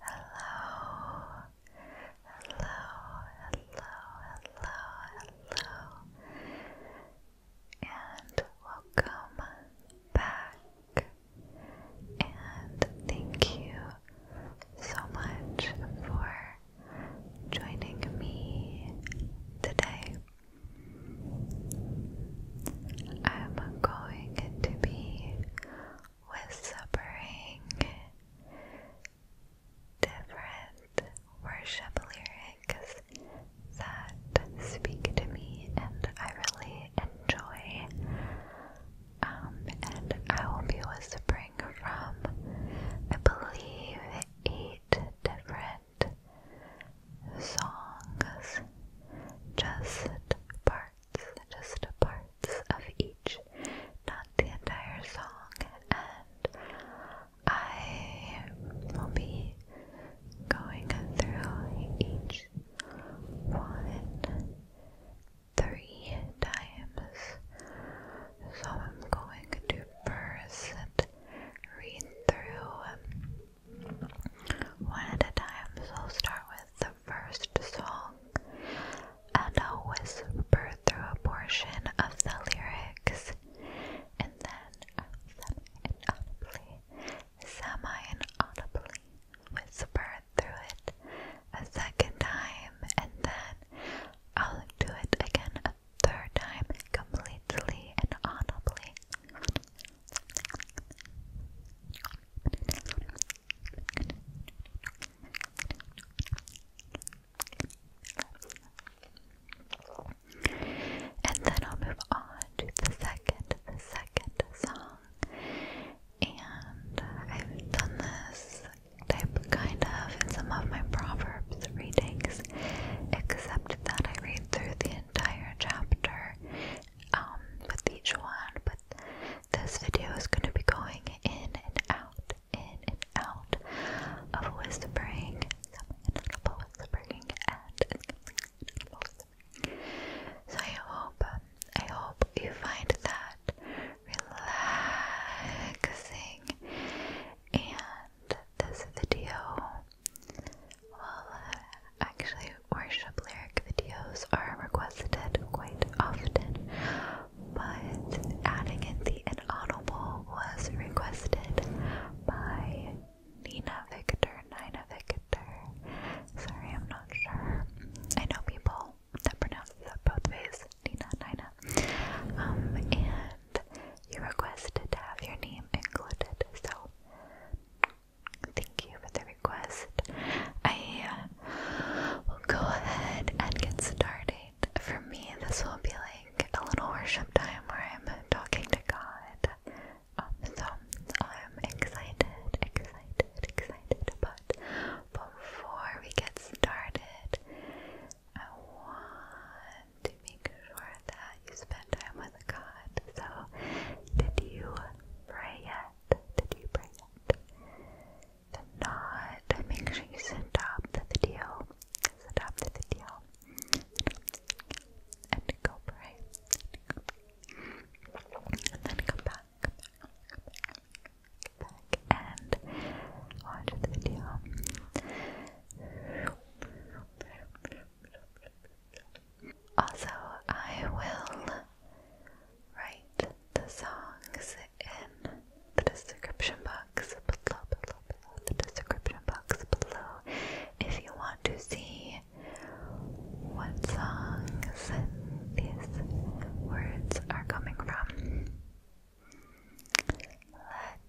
Hello, hello, hello, hello, hello, and welcome back. And thank you so much for joining me today. I'm going to be with suffering, different worship lyrics that speak to me and I really enjoy. Um, and I will be whispering from, I believe, eight different songs, just parts just parts of each, not the entire song. And I will be going through each one three times. So I'm going to first read through one at a time. So I'll start with the first song and I'll whisper through a portion of the lyrics and then semi-inaudibly, whisper through it a second time and then I'll do it again a third time completely and inaudibly. And then I'll move on to the second, the second song. And I've done this type kind of in some of my Proverbs readings, except that I read through the entire chapter um, with each one, but this video is going to be going in and out, in and out of whispering, some whispering, and whispering. So I hope, um, I hope you find that relaxing, and this video uh, Actually, worship lyric videos are requested quite often, but adding in the inaudible was requested by Nina Victor, Nina Victor. Sorry, I'm not sure. I know people that pronounce both ways, Nina, Nina. Um, and you requested to have your name included, so Thank you for the request. I uh, will go ahead and get started. For me, this will be like a little worship time where I'm talking to God. so I'm excited, excited, excited. But before we get started, I want to make sure that you spend time with God. So, did you pray yet? that? Did you bring it? If not, make sure you stop the video. Stop the video. And go pray. And then Come back. Come back, come back and watch the video. Also, I will write the songs in the description box below, the description box below if you want to see what songs these words are coming from.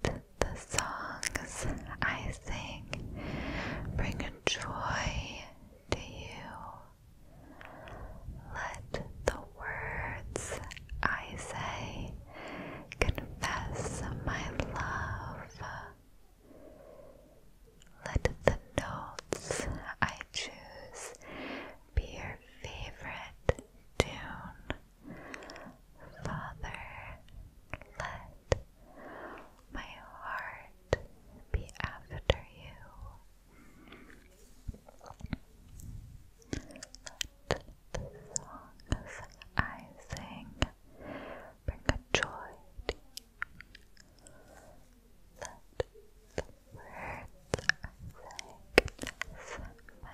Let the songs I sing bring joy to you. Let the words I say confess my love. Let the notes I choose be your favorite tune. Father, let my heart be after you. Let the songs I sing bring joy to the words I sing sentimental.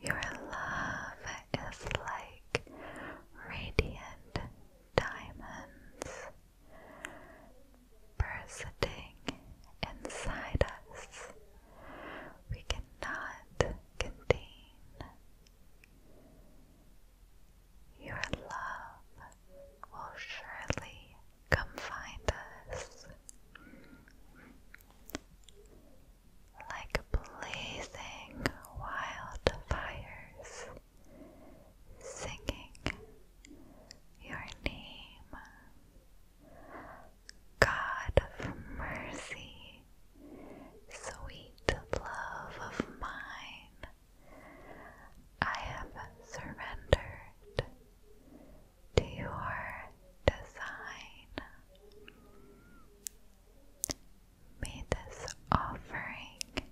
Your love is like radiant diamonds bursting inside us. We cannot contain your love will surely come find us. Like blazing wildfires, singing your name. God of mercy, sweet love of mine, I have surrendered to your design. May this offering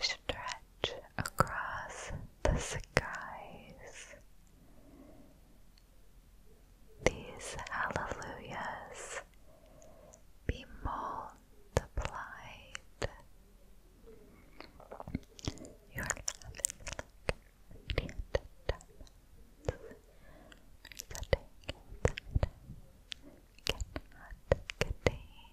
stretch across the skies. These hallelujahs be molded multiplied. You are going to Cannot contain your love. Will surely complete like blazing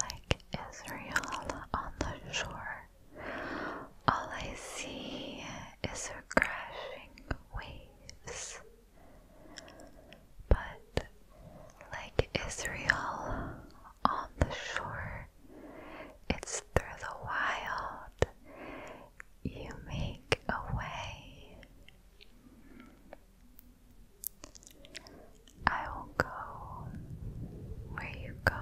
Like Israel on the shore, all I see is her crashing waves. But like Israel on the shore, it's through the wild you make a way. I will go where you go.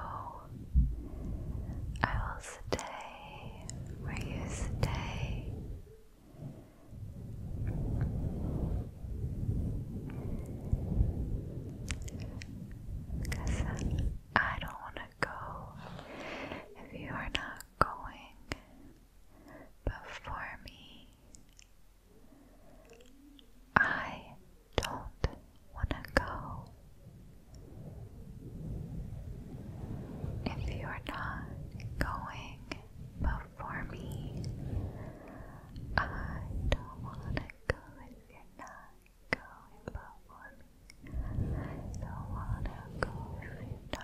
I will stay where you stay. Because I don't want go if you are not going before me. I don't want to go. If you are not going before me, I don't want to go go without performing. I don't go if you're not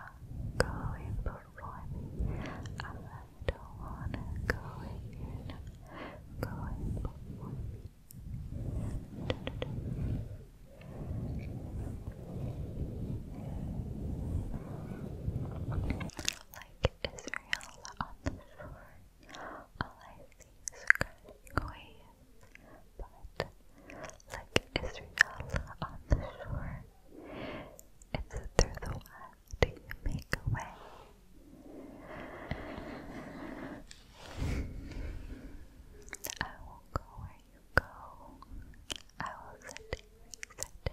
I don't wanna go if you're not Like Israel on the shore, all I see is crashing but like Israel on the shore, it's through the west you make a way. I will go where you go. I will sit where you sit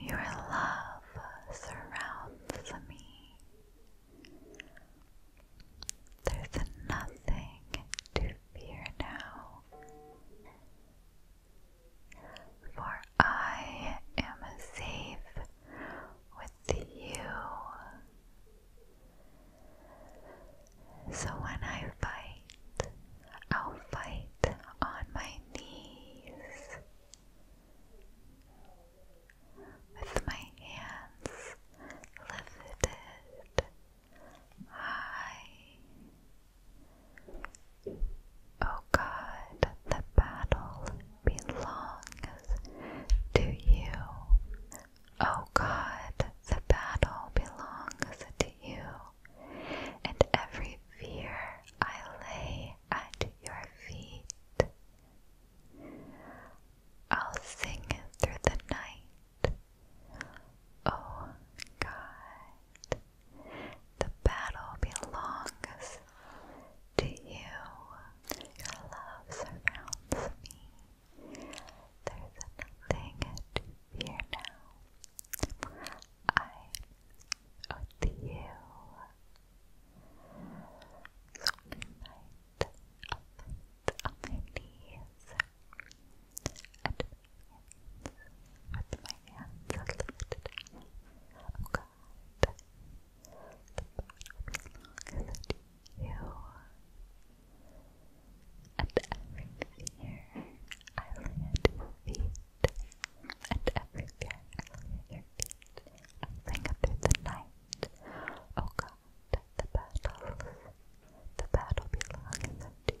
Your love surrounds me. There's nothing to fear now, for I am safe with you. So when I fight, I'll fight on my knees with my hands lifted high. Oh God, the battle belongs to you. Oh God, the battle belongs to you, and every fear I lay at your feet. I'll sing through the night. Oh God, the battle belongs to you. Your love surrounds me. There's nothing to now. I'm you. So night up, on my knees and my hands my hands lifted up. Oh God, the bottom is you and every fear I lay at feet, and every fear I lay at feet, I sing up through the night. Oh God, the battle, the battle belongs unto you.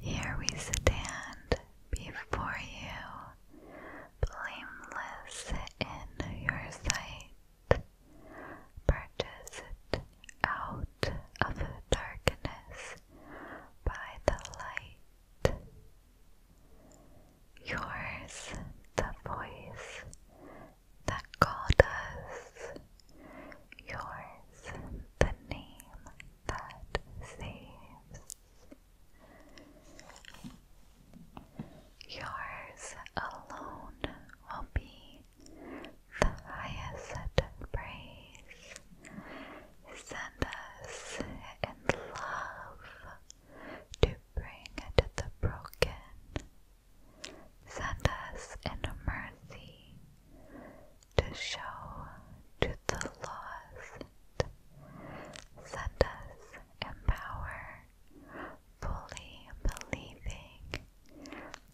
Here we stand before you, blameless in your sight. Purchased out of darkness by the light Yours, the voice that called us. Yours, the name that saves. Yours alone will be the highest praise. Send us in love to bring into the broken. Send us in mercy to show to the lost. Send us in power, fully believing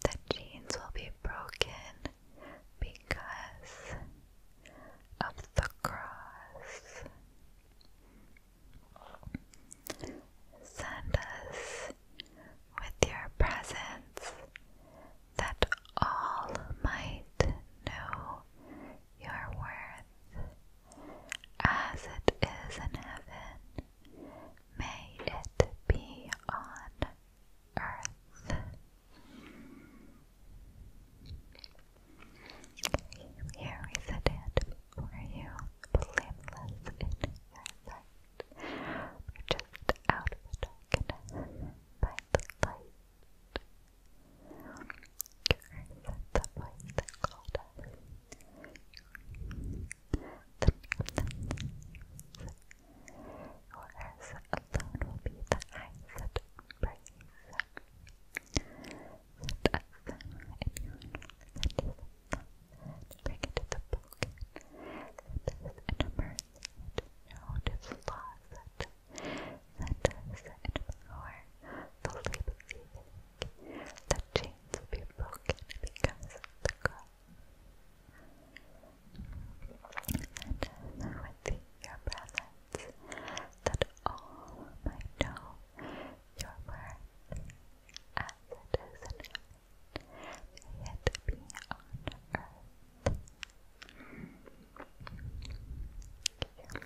that chains will be broken because of the cross. Send us with your presence that all might know your worth as it is in heaven. May it be on earth. Here we sit it you, blameless in your just out of the darkness by the light. the voice that called us yours alone will be the eyes that praise. Set a in your own, set the broken. Set us in a mercy, set set. us in power, believing that chains will be broken because the cross and with your presence, that all might know your worth as it is in heaven, may it be on earth. Thank you.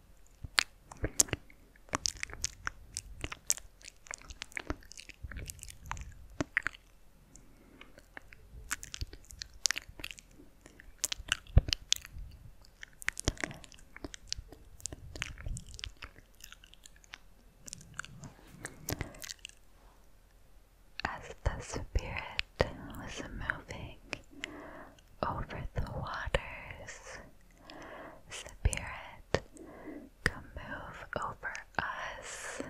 As the spirit was moving over the waters. Spirit, come move over us.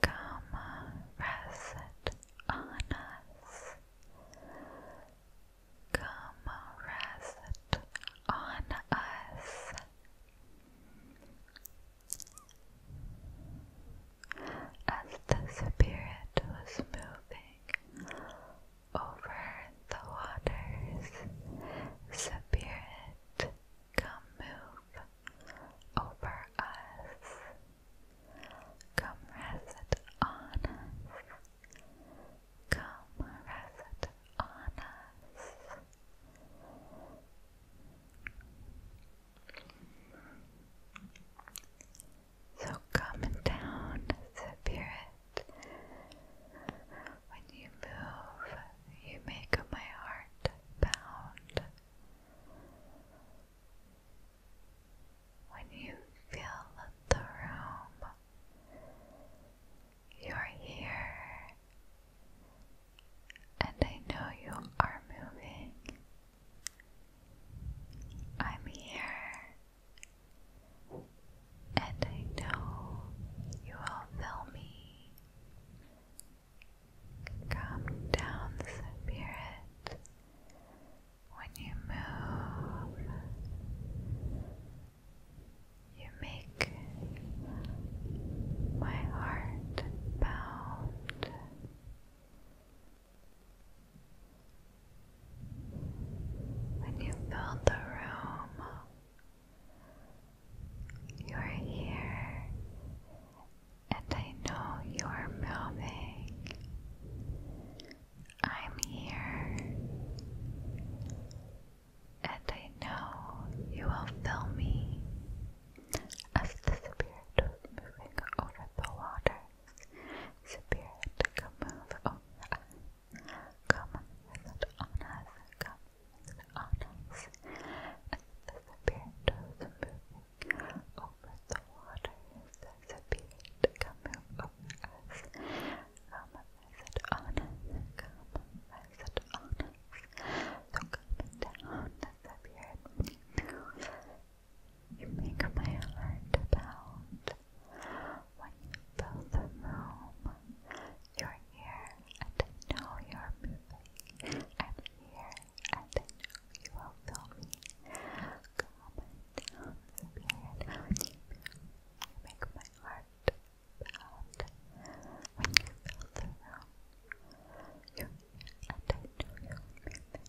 Come rest on us. Come rest on us as the spirit was moving over the waters. Spirit, come move over us. Come rest on us. Come rest on us. So come and down, Spirit. When you move, you make my heart bound. When you fill the room, you're here, and I know you are moving. I'm here, and I know you all feel me. Calm down, spirit, when you move. You make my heart bound. When you build the room, you're here, and I know you're moving. I'm here, and I know you will fill me as the spirit was over the water. Spirit, come move over us. Come visit on us. Come visit on us. And the spirit was moving over the waters. The spirit, come move over us. Come visit on us. Come visit on us. So come down, the spirit. You make my heart bound when you fill the room. You're and I know you're moving. i here and I you will feel me. Calm and down, spirit, how you make my heart bound when you fill the room. You're and I know you're moving.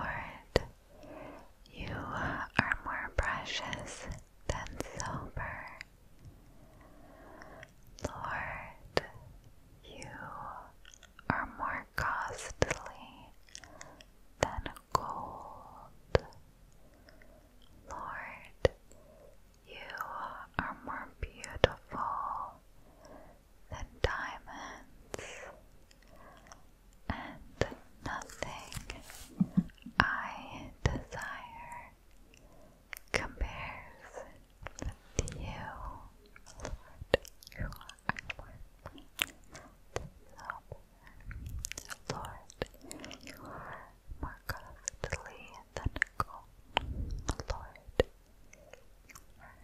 Lord, you are more precious than silver, Lord, you are more costly than gold. Lord, you are more beautiful than diamonds, and nothing I desire compares with you, Lord, you are Lord, you are more costly than gold, Lord, you are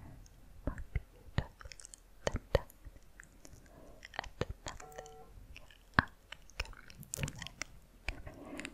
more and nothing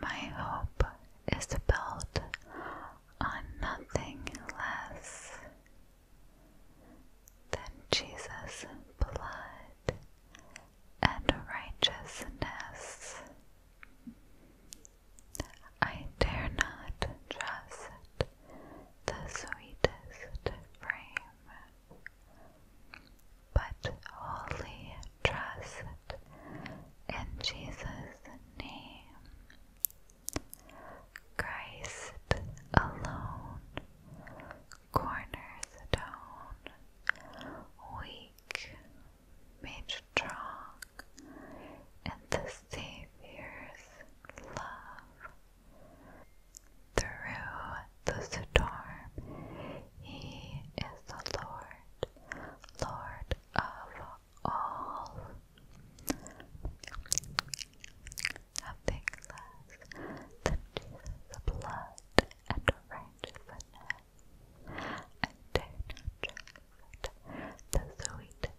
My hope is built on nothing less than Jesus' blood and righteousness. I dare not trust the sweetest frame but wholly trust in Jesus' name. Christ alone, cornerstone, weak, made strong in the Savior's love through the storm. He is the Lord, Lord of all. Nothing less than Jesus' blood and righteousness. I the sweetest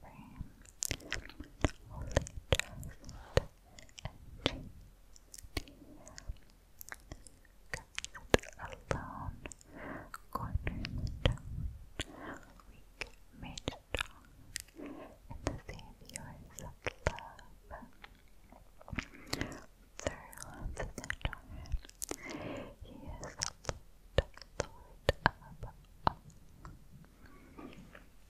frame. trust energy. Cast alone, corner weak made strong, in the Saviour's love. Through the door, He is the Lord,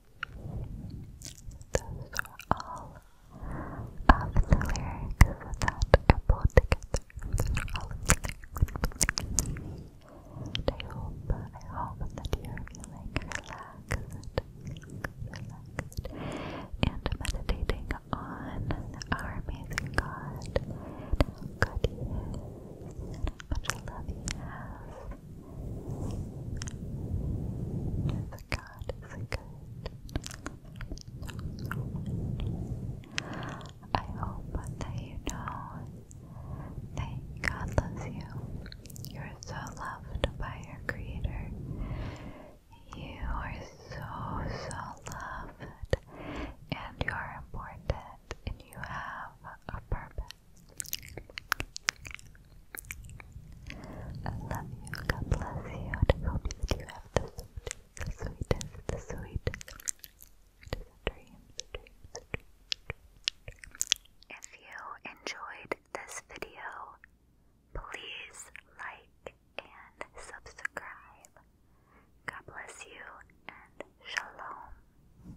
Those were all of the lyrics that I together. of I hope, I hope that you're feeling relaxed, relaxed, and meditating on our amazing God, how good He is, much love he has. Yes, God is good. I hope that you know that God loves you. You are so loved by your Creator. You are so, so loved, and you are important, and you have a purpose. I love you. God bless you. I hope that you have the, the sweetest, the sweetest, dreams. If you enjoyed this video, please like and subscribe. God bless you and shalom.